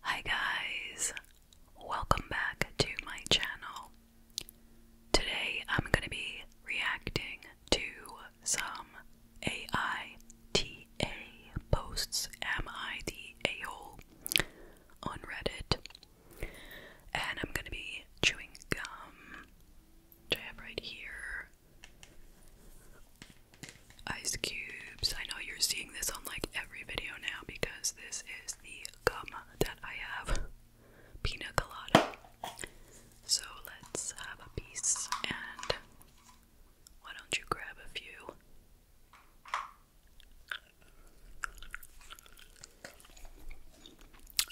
Hi guys, welcome back to my channel. Today I'm going to be reacting to some AITA posts, Am hole on Reddit. And I'm going to be chewing gum, which I have right here ice cubes. I know you're seeing this on like every video now because this is the gum that I have. Pina colada. So let's have a piece and why don't you grab a few?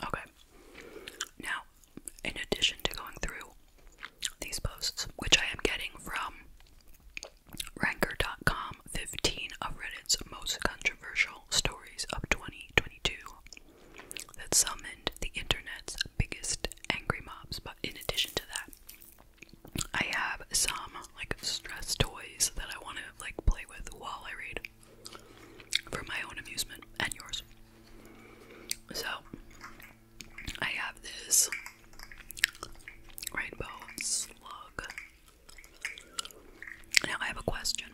Okay. Now, in addition to going through these posts, which I am getting from Ranker.com 15 of Reddit's most controversial stories of 2022 that summoned the internet's biggest angry mobs. But in addition to that, I have some like stress toys that I want to like play with while I read for my own amusement and yours. So I have this Rainbow slug. Now I have a question.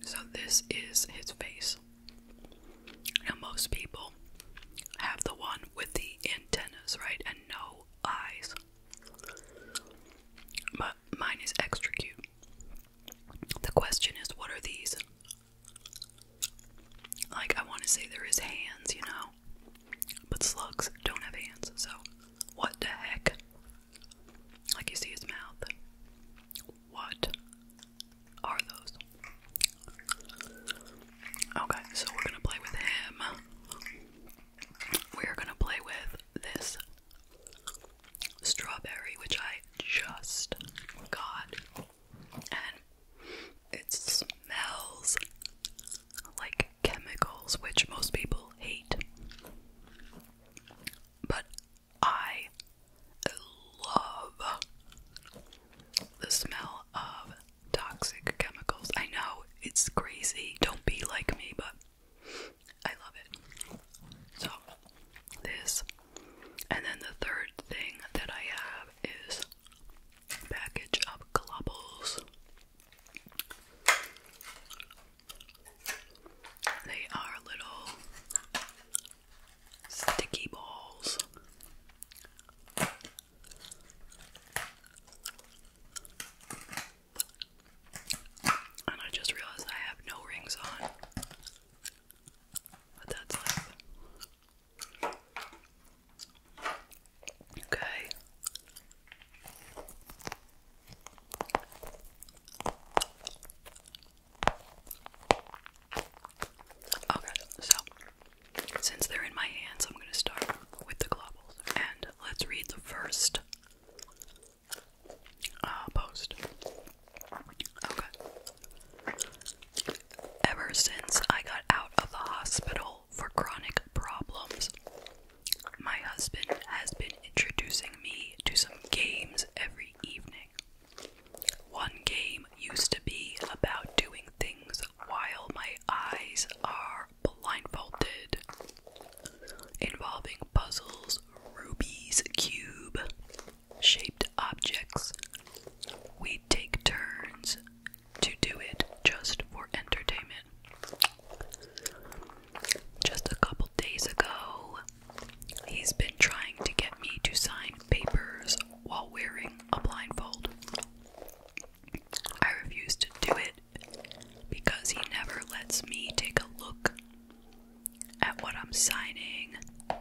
so this is his face. Now most people have the one with the antennas, right? And no eyes. But mine is extra cute. The question is what are these? Like I want to say there is hands, you know. But slugs don't have hands, so what the heck? Like you see his mouth. What are those? Okay, so we're gonna play with him. We're gonna play with this strawberry, which I just got. And it smells like chemicals, which most people hate. But I love the smell of toxic chemicals. I know it's crazy, don't be like me, but I love it. So, this. And then the third thing that I have is package of globbles. They are little sticky balls. And I just realized I have no rings on. But that's like Okay. Okay, so since they're in my hands, I'm going to start with the globals and let's read the first uh, post. Okay. Ever since I got out of the hospital, for chronic problems. My husband has been introducing me to some games every evening. One game used to be about doing things while my eyes are blindfolded, involving puzzles, Ruby's Cube, shaped objects. We'd take turns to do it just for entertainment. Just a couple days ago, he's been trying to get me to sign papers while wearing a blindfold. I refuse to do it because he never lets me take a look at what I'm signing,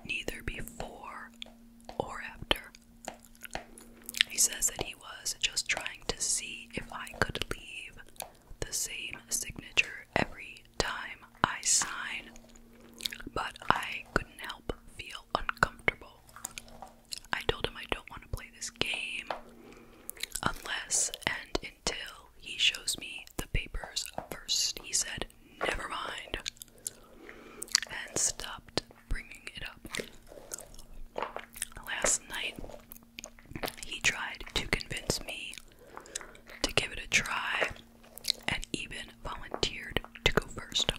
neither before or after. He says that he was just trying to see if I could leave the same signature every time I sign, but I couldn't help feel uncomfortable. I told him I don't want to play this game unless and until he shows me the papers first. He said, Never mind, and stopped bringing it up. Last night, he tried to convince me to give it a try and even volunteered to go first.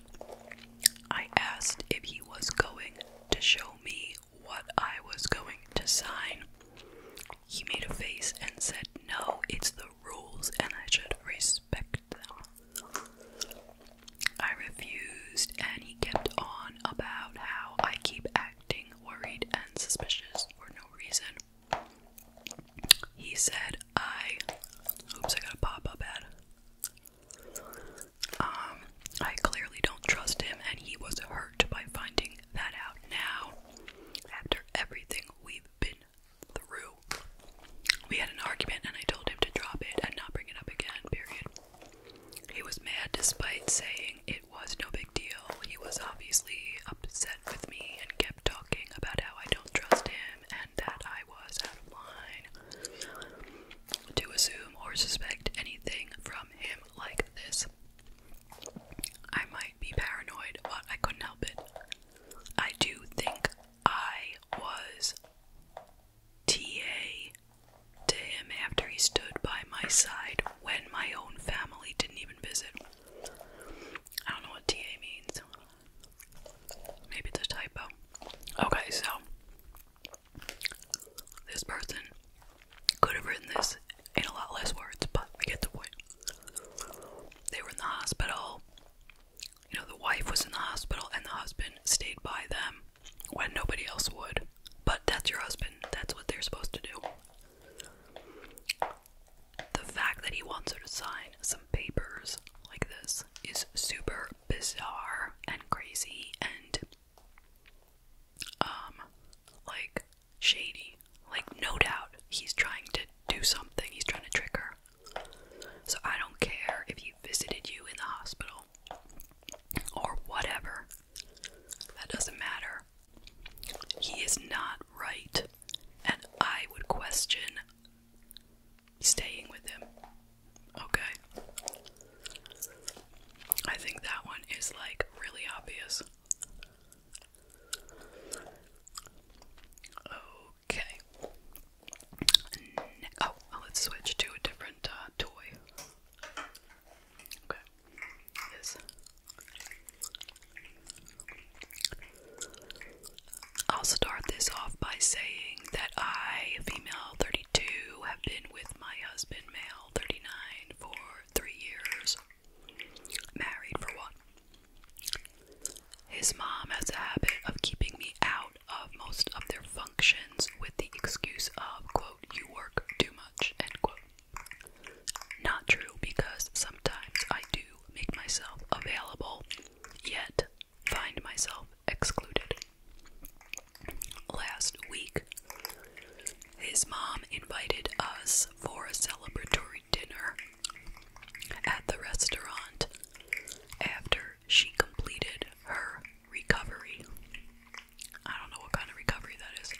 I asked if he was going to show me what I was going to sign. He made a face and said, No, it's the rules and I should respect them. I refused, and he kept on about how I keep acting worried and suspicious for no reason. He said, I. Oops, I got a pop up ad. Um, I clearly don't trust him, and he was hurt by finding that out now. After everything we've been through, we had an argument, and I told him to drop it and not bring it up again, period. He was mad despite saying it was no big deal. He was obviously upset with me and kept talking about how I don't trust him and that I was out of line to assume or suspect anything from him like this. I might be paranoid, but I couldn't help it. I do think I was TA to him after he stood by my side when my own family didn't even visit. I don't know what TA means. Maybe it's a typo. Okay, so this person could have written this in a lot less words, but I get the point. They were in the hospital. You know, the wife was in the hospital and the husband stayed by them when nobody else would. But that's your husband. That's what they're supposed to do. The fact that he wants her to sign some papers like this is super bizarre and crazy and um like shady. Like no doubt he's trying to do something. He's trying to trick her. So I don't care if he visited you in the hospital or whatever. That doesn't matter. He is not right, and I would question staying with him. Okay? I think that one is like really obvious. Okay. Oh, let's switch to a different uh, toy. Okay. I'll start this off by saying that I, female 32, have been with my husband, male 39, for three years. Married for one. His mom has a habit of keeping me out of most of their functions with the excuse of, quote, you work too much, end quote. Not true because sometimes I do make myself available, yet find myself excluded. Last week, his mom invited us for a celebratory dinner at the restaurant after she completed her recovery. I don't know what kind of recovery that is.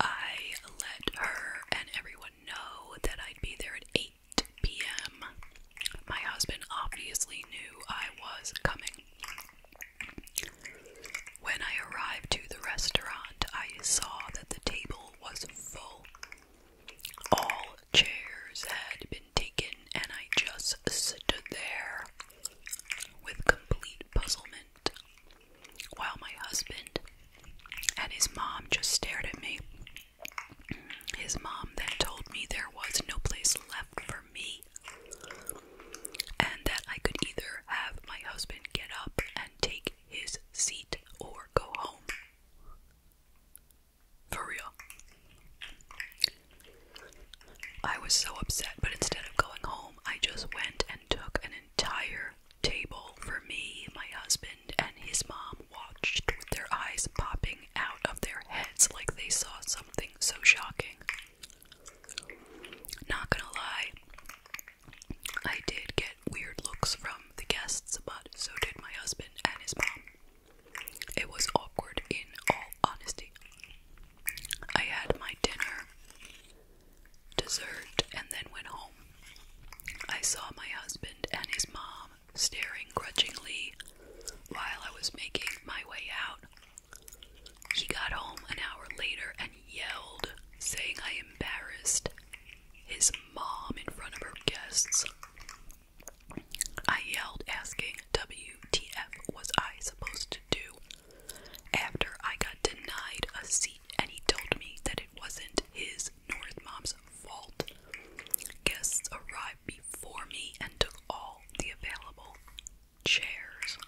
I let her and everyone know that I'd be there at 8 p.m. My husband obviously knew I was coming. When I arrived to the restaurant, I saw that the table was full. All chairs had been taken, and I just stood there with complete puzzlement while my husband and his mom just stared at me. His mom then told me there was no place left for me and that I could either have my husband get up and take his seat or go home. For real. I was so upset, but instead of going home, I just went and took an entire table for me, my husband, and his mom watched with their eyes popping out of their heads like they saw something so shocking. Not gonna lie, I did get weird looks from the guests, but so did my husband and his mom. It was awkward in all honesty. I had my dinner, dessert, and then went home. I saw my husband and his mom staring grudgingly while I was making my way out. He got home an hour later and yelled, saying I embarrassed his mom in front of her guests. I yelled, asking WTF was I supposed to do. After I got denied a seat, and he told me that it wasn't his North Mom's fault. Guests arrived before me and took all the available chairs.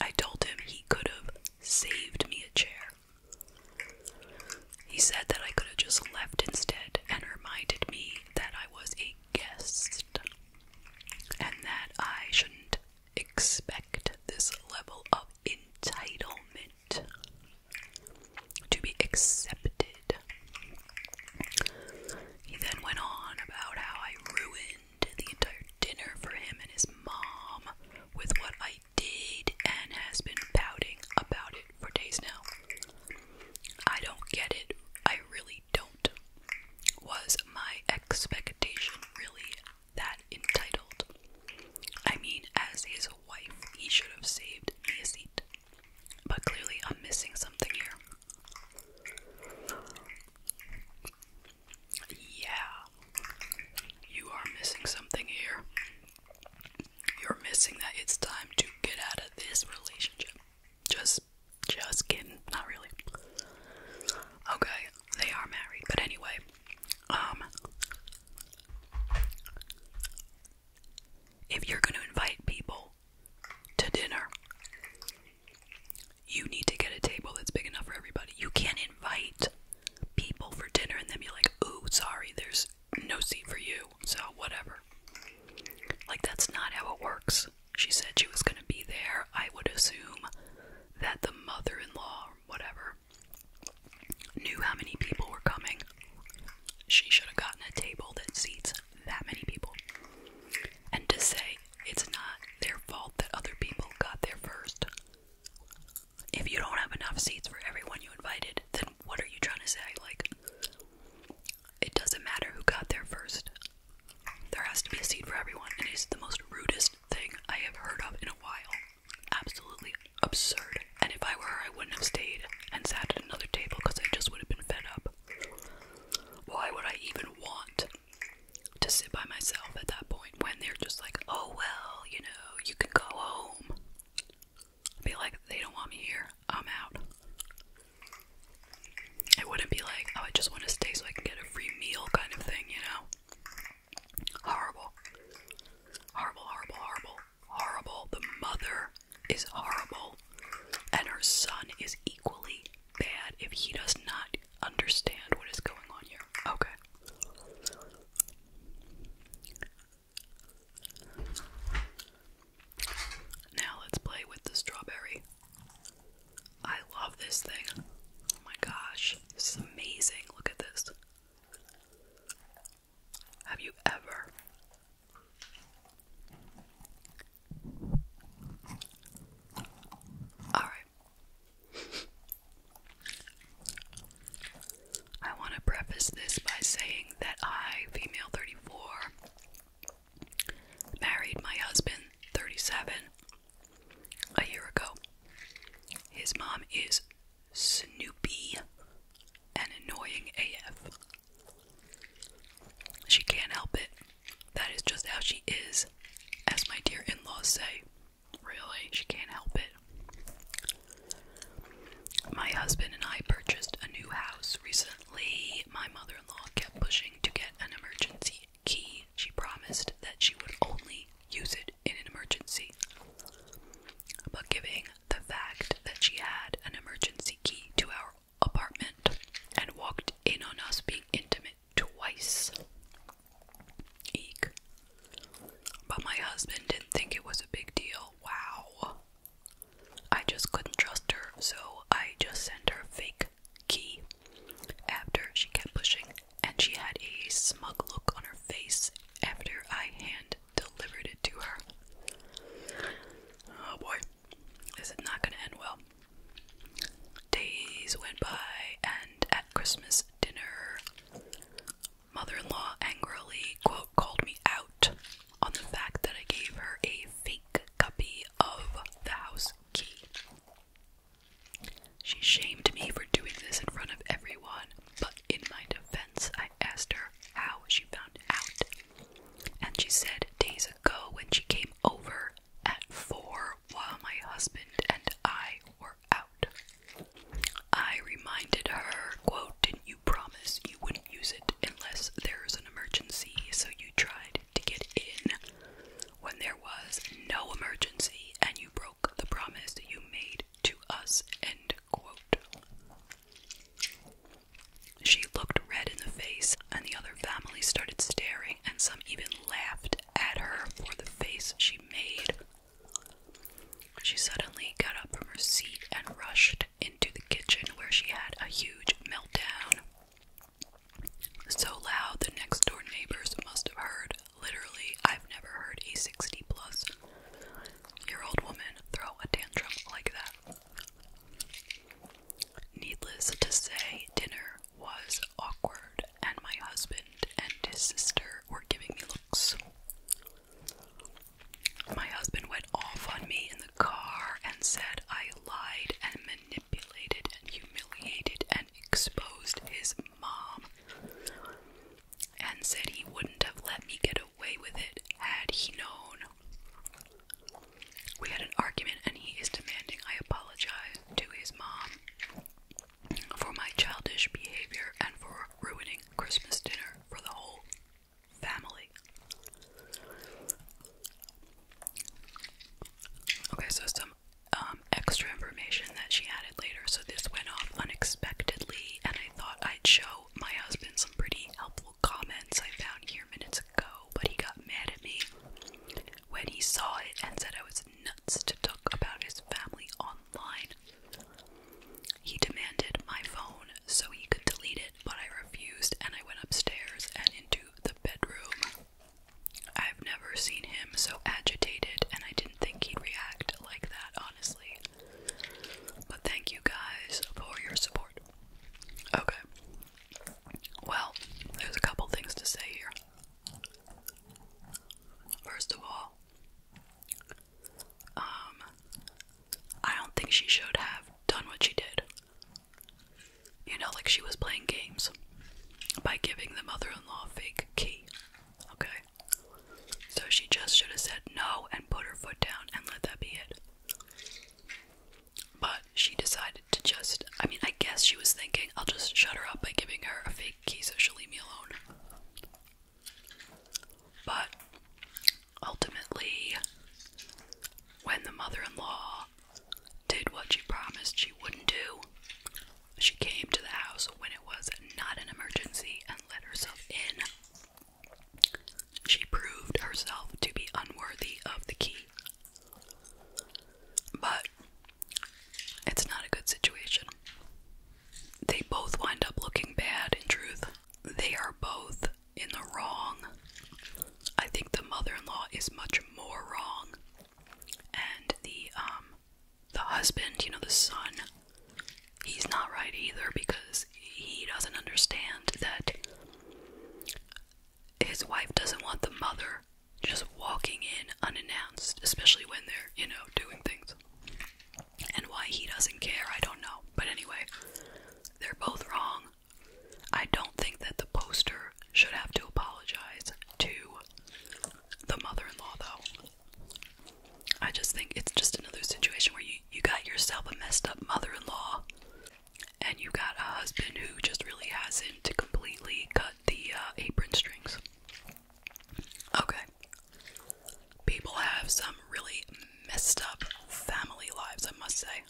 I told him he could have saved me a chair. He said that I could have just left instead and reminded me that I was a guessed, and that I shouldn't expect this level of entitlement to be accepted. He then went on about how I ruined the entire dinner for him and his mom with what I did and has been pouting about it for days now. I don't get it. I really don't. Was my expectation really that entitled? I mean, as his wife, he should have saved me a seat. But clearly, I'm missing something here. Yeah, you are missing something here. You're missing that it's time to get out of this relationship. Just, just kidding. Not really. Okay, they are married, but anyway, um, if you're gonna invite people to dinner, you need to get a table that's big enough for everybody. You can't invite people for dinner and then be like, ooh, sorry, there's no seat for you, so whatever. Like, that's not how it works. She said she was gonna be there. I would assume that the mother in law or whatever knew how many people were coming. She should have gotten a table that seats that many people. And to say it's not their fault that other people got there first. If you don't have enough seats for everyone you invited, then what are you trying to say? Like, it doesn't matter who got there first. There has to be a seat for everyone, and it's the most rudest thing I have heard of in a while. Absolutely absurd. And if I were I wouldn't have stayed and sat at another table because I just would have been fed up. Why would I even want to sit by myself at that point when they're just like, oh well, you know, you can go home? I'd be like, they don't want me here. I'm out. It wouldn't be like, oh, I just want to stay so I can get a free meal kind of thing, you know? Horrible. Horrible, horrible, horrible, horrible. The mother is horrible. And her son is equally bad if he does not understand what is going on here. Okay. Now let's play with the strawberry. I love this thing. Oh my gosh, this is amazing. Look at this. Have you ever? Alright. I want to preface this by saying that I, female 34, Married my husband, 37, a year ago. His mom is Snoopy and annoying AF. She can't help it. That is just how she is, as my dear in laws say. Really, she can't help it. My husband and I purchased a new house recently. Unfortunately, my mother in law kept pushing to get an emergency key. She promised that she would only use it in an emergency. But giving the fact that she had an emergency key to our apartment and walked in on us being intimate twice. Eek. But my husband didn't think it was a big deal. Wow. I just couldn't trust her, so I just sent her a fake key after she kept pushing and she had a smug look on her face after I hand delivered it to her. Oh boy, this is not gonna end well. Days went by, and at Christmas dinner, mother in law angrily, quote, called me out on the fact that I gave her a fake copy of the house key. She shamed me for doing this in front of everyone, but in my defense, I asked her how she found out. And she said days ago when she came over at four while my husband and I were out. I reminded her, quote, didn't you promise you wouldn't use it unless there's emergency, so you tried to get in when there was no emergency and you broke the promise you made to us. End quote. She looked red in the face, and the other family started staring, and some even laughed at her for the face she made. She suddenly got up from her seat and rushed into the kitchen where she had a huge meltdown. So loud the next door neighbors must have heard. Literally, I've never heard a 60 plus year old woman throw a tantrum like that. Needless to say, dinner was awkward, and my husband and his sister were giving me looks. My husband went off on me in the car and said I lied and manipulated and humiliated and exposed his mom and said he wouldn't have let me get away with it had he known. We had an argument, and he is demanding I apologize to his mom for my childish behavior and for ruining Christmas dinner for the whole family. Okay, so some um, extra information that she added later. So this went off unexpectedly, and I thought I'd show my husband some pretty helpful comments I found here minutes ago, but he got mad at me when he saw it and said I was nuts to talk about his family online. He demanded my phone so he could delete it but I refused and I went upstairs and into the bedroom. I've never seen him so agitated, and I didn't think he'd react like that, honestly. But thank you guys for your support. Okay. Well, there's a couple things to say here. First of all, um, I don't think she should have done what she did. You know, like she was playing games by giving the mother in law a fake key. Okay? So she just should have said no and put her foot down and let that be it. But she decided to just, I mean, I guess she was thinking, I'll just shut her up by giving her a fake key so she'll leave me alone. But Ultimately, when the mother in law did what she promised she wouldn't do, she came to the house when it was not an emergency and let herself in. She proved herself to be unworthy of the key. But it's not a good situation. They both wind up looking bad in truth. They are both in the wrong. I think the mother-in-law is much more wrong, and the um, the husband, you know, the son, he's not right either because he doesn't understand that his wife doesn't want the mother just walking in unannounced, especially when they're, you know, doing things. And why he doesn't care, I don't know. But anyway, they're both wrong. I don't think that the poster should have to apologize to the mother in law, though. I just think it's just another situation where you, you got yourself a messed up mother in law, and you got a husband who just really hasn't completely cut the uh, apron strings. Okay. People have some really messed up family lives, I must say.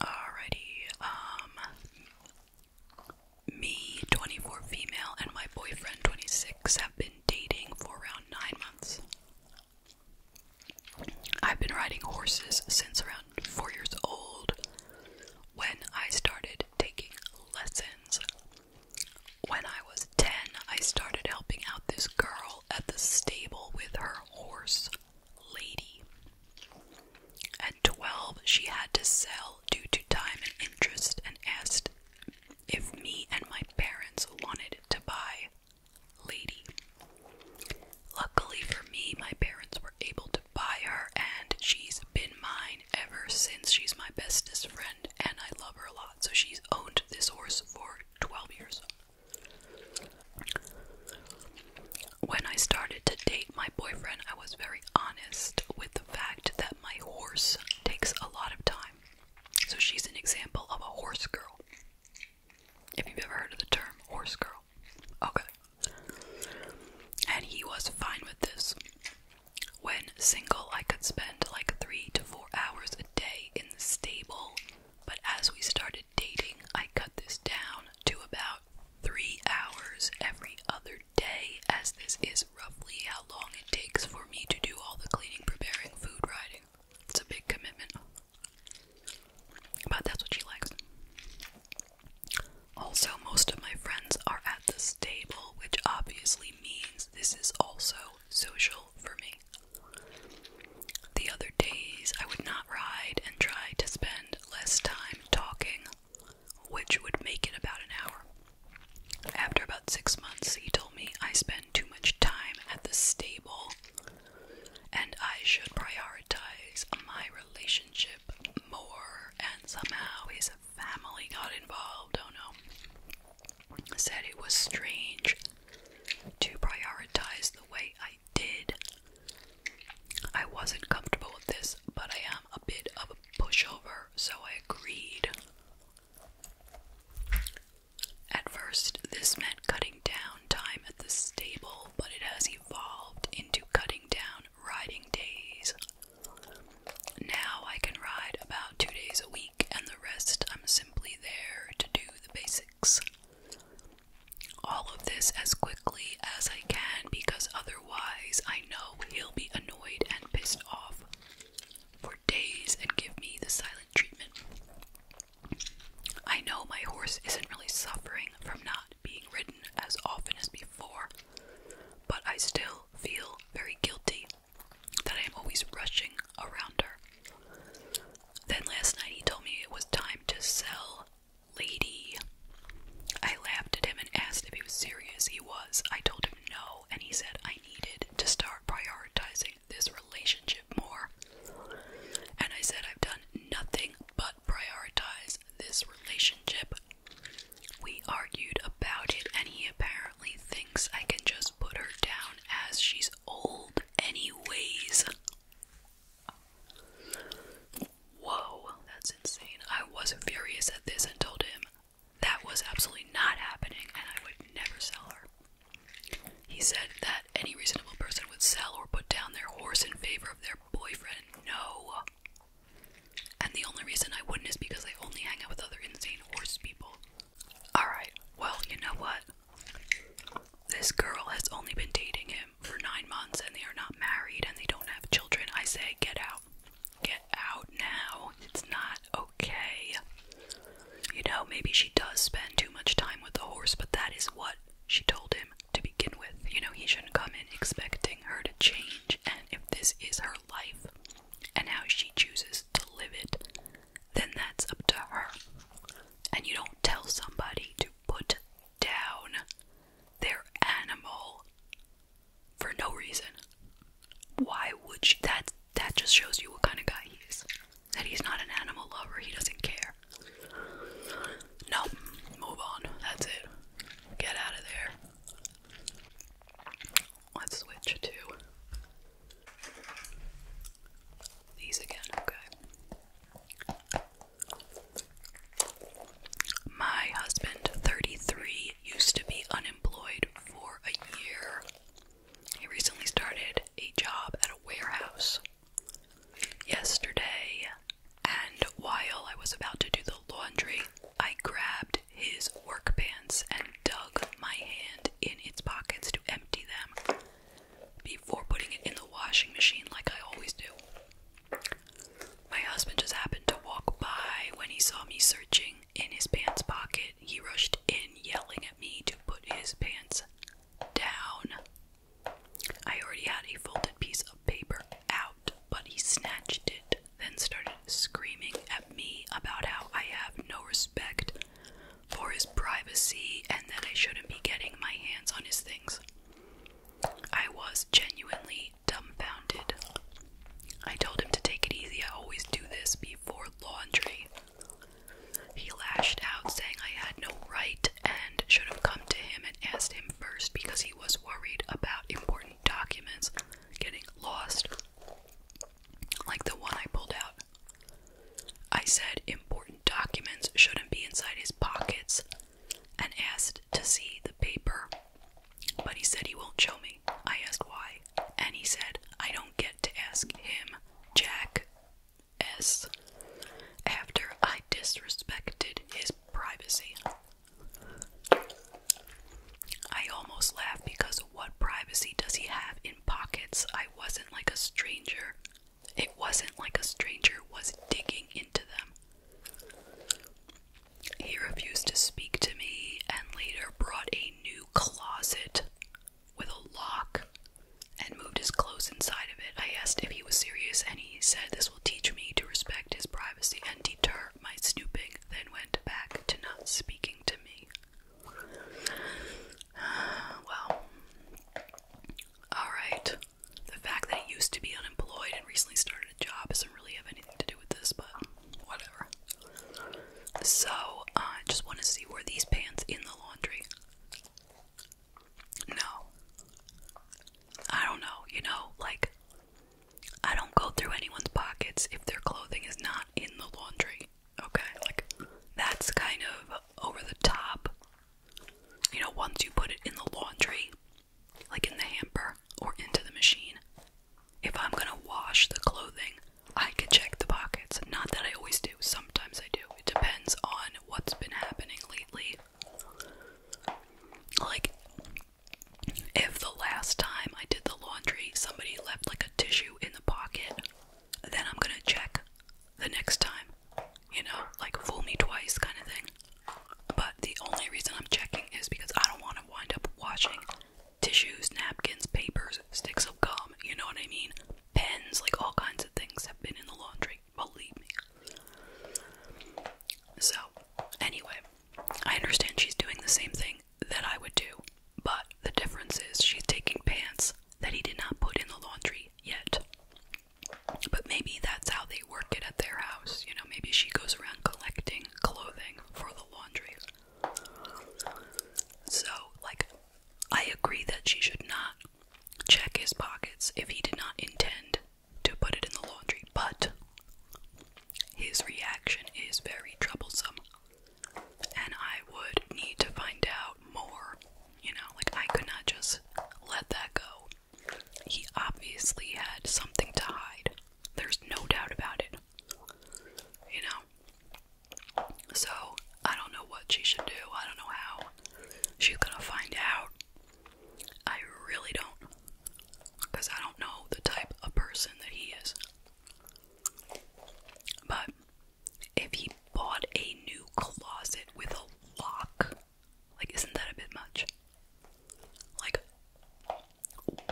Alrighty, um, me, 24 female, and my boyfriend, 26, have been dating for around 9 months. I've been riding horses since around 4 years old when I started taking lessons. When I was 10, I started helping out this girl at the stable with her horse, Lady. At 12, she had to sell due to time and interest and asked if me and my parents wanted to buy Lady. Luckily for me, my parents were able to buy her, and she's been mine ever since. She's my bestest friend, and I love her a lot. So she's owned this horse for 12 years. When I started to date my boyfriend, I was very honest with the fact that my horse takes a lot of time. So she's an example of a horse girl. If you've ever heard of the term horse girl. Okay. And he was fine with this. When single, I could spend like three to four hours a day in the stable but as we started dating, I cut this down to about three hours every other day, as this is roughly how long it takes for me to do all the cleaning, preparing, food, riding. It's a big commitment. But that's what she likes. Also, most of my friends are at the stable, which obviously means this is also social for me. The other days, I would not ride and try to spend less time talking, which would make it about an hour. After about six months, he told me I spend too much time at the stable and I should prioritize my relationship more. And somehow his family got involved. Oh no. Said it was strange to prioritize the way I did. I wasn't comfortable with this, but I am a bit of a pushover, so I agreed. At first, this meant cutting down time at the stable, but it has evolved into cutting down riding days. Now I can ride about two days a week, and the rest I'm simply there to do the basics all of this as quickly as I can because otherwise I know he'll be annoyed and pissed off for days and give me the silent treatment. I know my horse isn't really suffering from not being ridden as often as before, but I still feel very guilty that I am always rushing around her. Then last night he told me it was time to sell Lady. I laughed at him and asked if he was serious. He was. I told him no, and he said I needed to start prioritizing this relationship more. And I said I've done nothing but prioritize this relationship. We argued about it, and he apparently thinks I can just put her down as she's old anyways. Whoa, that's insane. I was furious at this and told him that was absolutely not happening and I would never sell her. He said that any reasonable person would sell or put down their horse in favor of their boyfriend. No. And the only reason I wouldn't is because I only hang out with other insane horse people. Alright, well, you know what? This girl has only been dating him for nine months and they are not married and they don't have children. I say, get out. Get out now. It's not okay. You know, maybe she does spend too much time with the horse, but that is what she told him to begin with. You know, he shouldn't come in expecting her to change. And if this is her life and how she chooses to live it, then that's up to her. And you don't tell somebody to put down their animal for no reason. Why would she? That, that just shows you what kind of guy he is. That he's not an animal lover, he doesn't care. No, move on. That's it. Get out of there. Let's switch to these again, okay. My husband, 33, used to be unemployed for a year. He recently started a job at a warehouse yesterday, and while I was about to do the laundry, I grabbed his work pants and dug my hand in its pockets to empty them before putting it in the washing machine like I always do. My husband just happened to walk by when he saw me searching in his pants pocket. He rushed in, yelling at me to put his pants down. I already had a folded piece of paper out, but he snatched it, then started screaming at me about how I have no respect for his privacy and that I shouldn't be getting my hands on his things. I was genuinely dumbfounded. I told him to take it easy, I always do this before laundry. He lashed out, saying I had no right and should have come to him and asked him first because he was worried about important documents getting lost, like the one I pulled out. I said important documents shouldn't be inside his pockets and asked to see the paper. But he said he won't show me. I asked why, and he said I don't get to ask him, Jack S. After I disrespected his privacy, I almost laughed because what privacy does he have in pockets? I wasn't like a stranger it wasn't like a stranger was digging into them. He refused to speak to me and later brought a new closet with a lock and moved his clothes inside of it. I asked if he was serious and he said this will teach me to respect his privacy and deter my snooping, then went back to not speaking to me. well, Alright. The fact that he used to be unemployed and recently started a job doesn't really have anything to do with this, but whatever. So, uh, I just want to see where these pants in the laundry? No. I don't know, you know, like, I don't go through anyone's pockets if their clothing is not in the laundry, okay? Like, that's kind of over the top you know, once you put it in the laundry, like in the hamper or into the machine, if I'm gonna wash the clothing, I can check the pockets. Not that I always do, sometimes I do. It depends on what's been happening lately. Like, if the last time I did the laundry, somebody left like a tissue in the pocket, then I'm gonna check the next time. You know, like fool me twice kind of thing. But the only reason I'm checking is because I don't want to wind up washing tissues, napkins, papers, sticks of gum, you know what I mean? Pens, like all kinds of things have been in the laundry, believe me. So, anyway, I understand she's doing the same thing that I would do, but the difference is she's taking pants that he did not put in the laundry yet. But maybe that's how they work it at their house. You know, maybe she goes around collecting clothing for the laundry. So, like, I agree that she should not check his pockets if he did not intend to put it in the laundry, but his reaction is very troublesome. And I would need to find out more you know, like I could not just let that go. He obviously had something to hide. There's no doubt about it. You know? So, I don't know what she should do. I don't know how she's gonna find out. I really don't. Because I don't know the type of person that he is. But if he bought a new closet with a lock, like, isn't that a bit much? Like,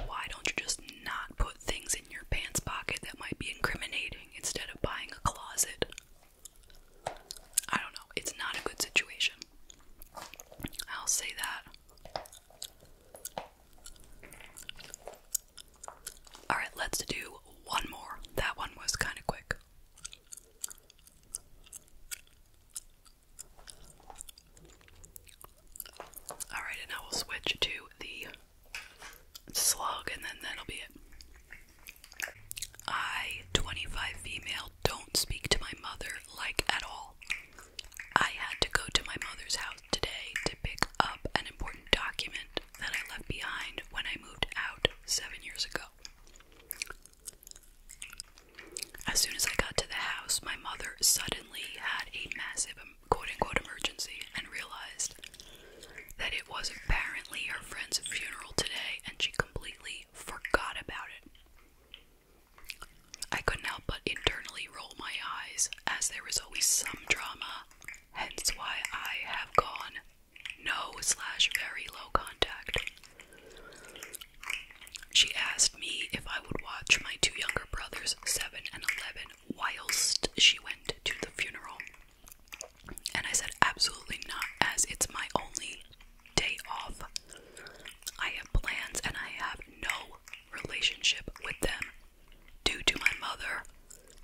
why don't you just not put things in your pants pocket that might be incriminating instead of buying a closet? I don't know. It's not a good situation. I'll say that. Alright, let's do one more. That one was kind of quick. Alright, and I will switch to the slug and then that'll be it. I, 25 female, don't speak to my mother like at all. I had to go to my mother's house today to pick up an important document that I left behind when I moved out seven years ago. As soon as I got to the house, my mother suddenly had a massive quote unquote emergency and realized that it was apparently her friend's funeral today and she completely forgot about it. I couldn't help but internally roll my eyes, as there is always some drama, hence why I have gone no slash very low contact. She asked me if I would watch my two younger brothers, 7 and 11, whilst she went to the funeral. And I said, absolutely not, as it's my only day off. I have plans and I have no relationship with them due to my mother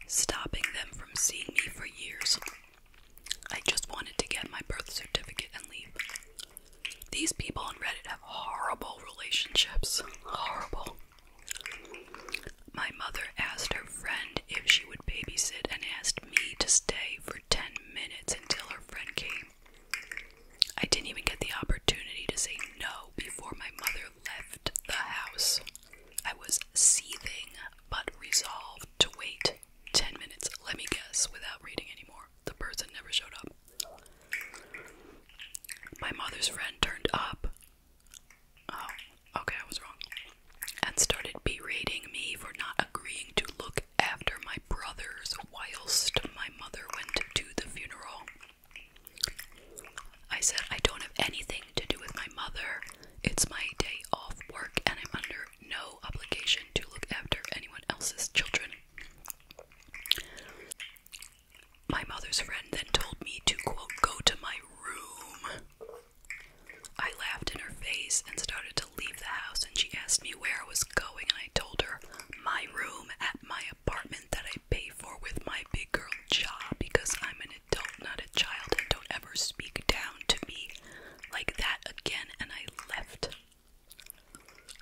stopping them from seeing me for years. I just wanted to get my birth certificate and leave. These people on Reddit have horrible relationships. Horrible. My mother asked her friend if she would babysit and asked me to stay for 10 minutes until her friend came. I didn't even get the opportunity to say no before my mother left the house. I was seething but resolved to wait 10 minutes. Let me guess, without reading anymore. The person never showed up. My mother's friend turned up. Oh, okay, I was wrong. And started berating me for not agreeing to look after my brothers whilst my mother went to the funeral. I said, I don't have anything to do with my mother. It's my day off work, and I'm under no obligation to look after anyone else's children. My mother's friend then told me to, quote, go to my room. I laughed in her face and started to leave the house, and she asked me where I was going, and I told her my room at my apartment that I pay for with my big girl job because I'm an an adult, not a child, don't ever speak down to me like that again. And I left.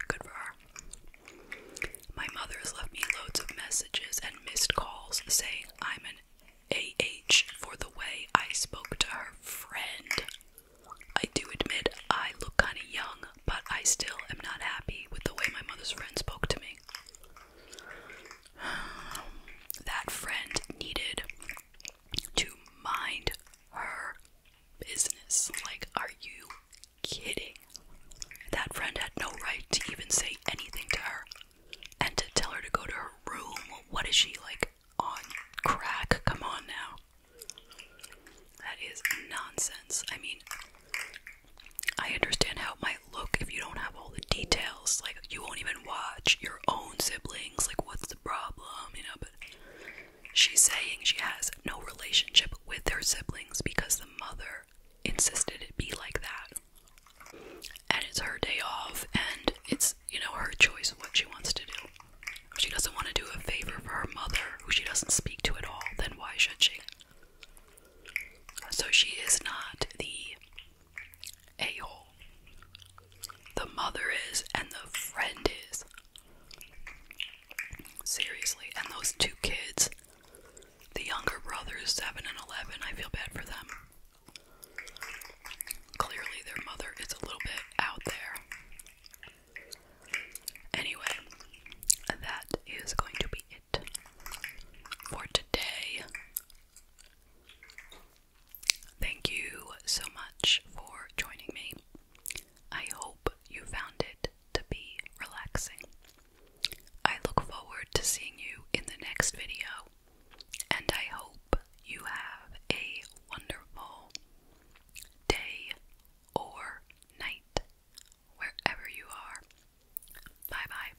Good for her. My mother has left me loads of messages and missed calls saying I'm an AH for the way I spoke to her friend. I do admit I look kind of young, but I still am not happy with the way my mother's friend spoke to me. that friend needed to mind her business. Like, are you kidding? That friend had no right to even say anything to her and to tell her to go to her room. What is she like on crack? Come on now. That is nonsense. I mean, I understand how it might look if you don't have all the details. Like, you won't even watch your own sibling like what's the problem, you know, but she's saying she has no relationship with their siblings because the mother insisted it be like that. And it's her day off and it's, you know, her choice what she wants to do. she doesn't want to do a favor for her mother, who she doesn't speak to at all, then why should she? So she is not the a hole. The mother is, and the friend is. Seriously, and those two kids, the younger brothers, 7 and 11, I feel bad for them. Clearly, their mother is a little bit out there. Anyway, that is going to be it for today. Thank you so much for joining me. I hope you found it to be relaxing. I look forward to seeing you in the next video, and I hope you have a wonderful day or night wherever you are. Bye bye.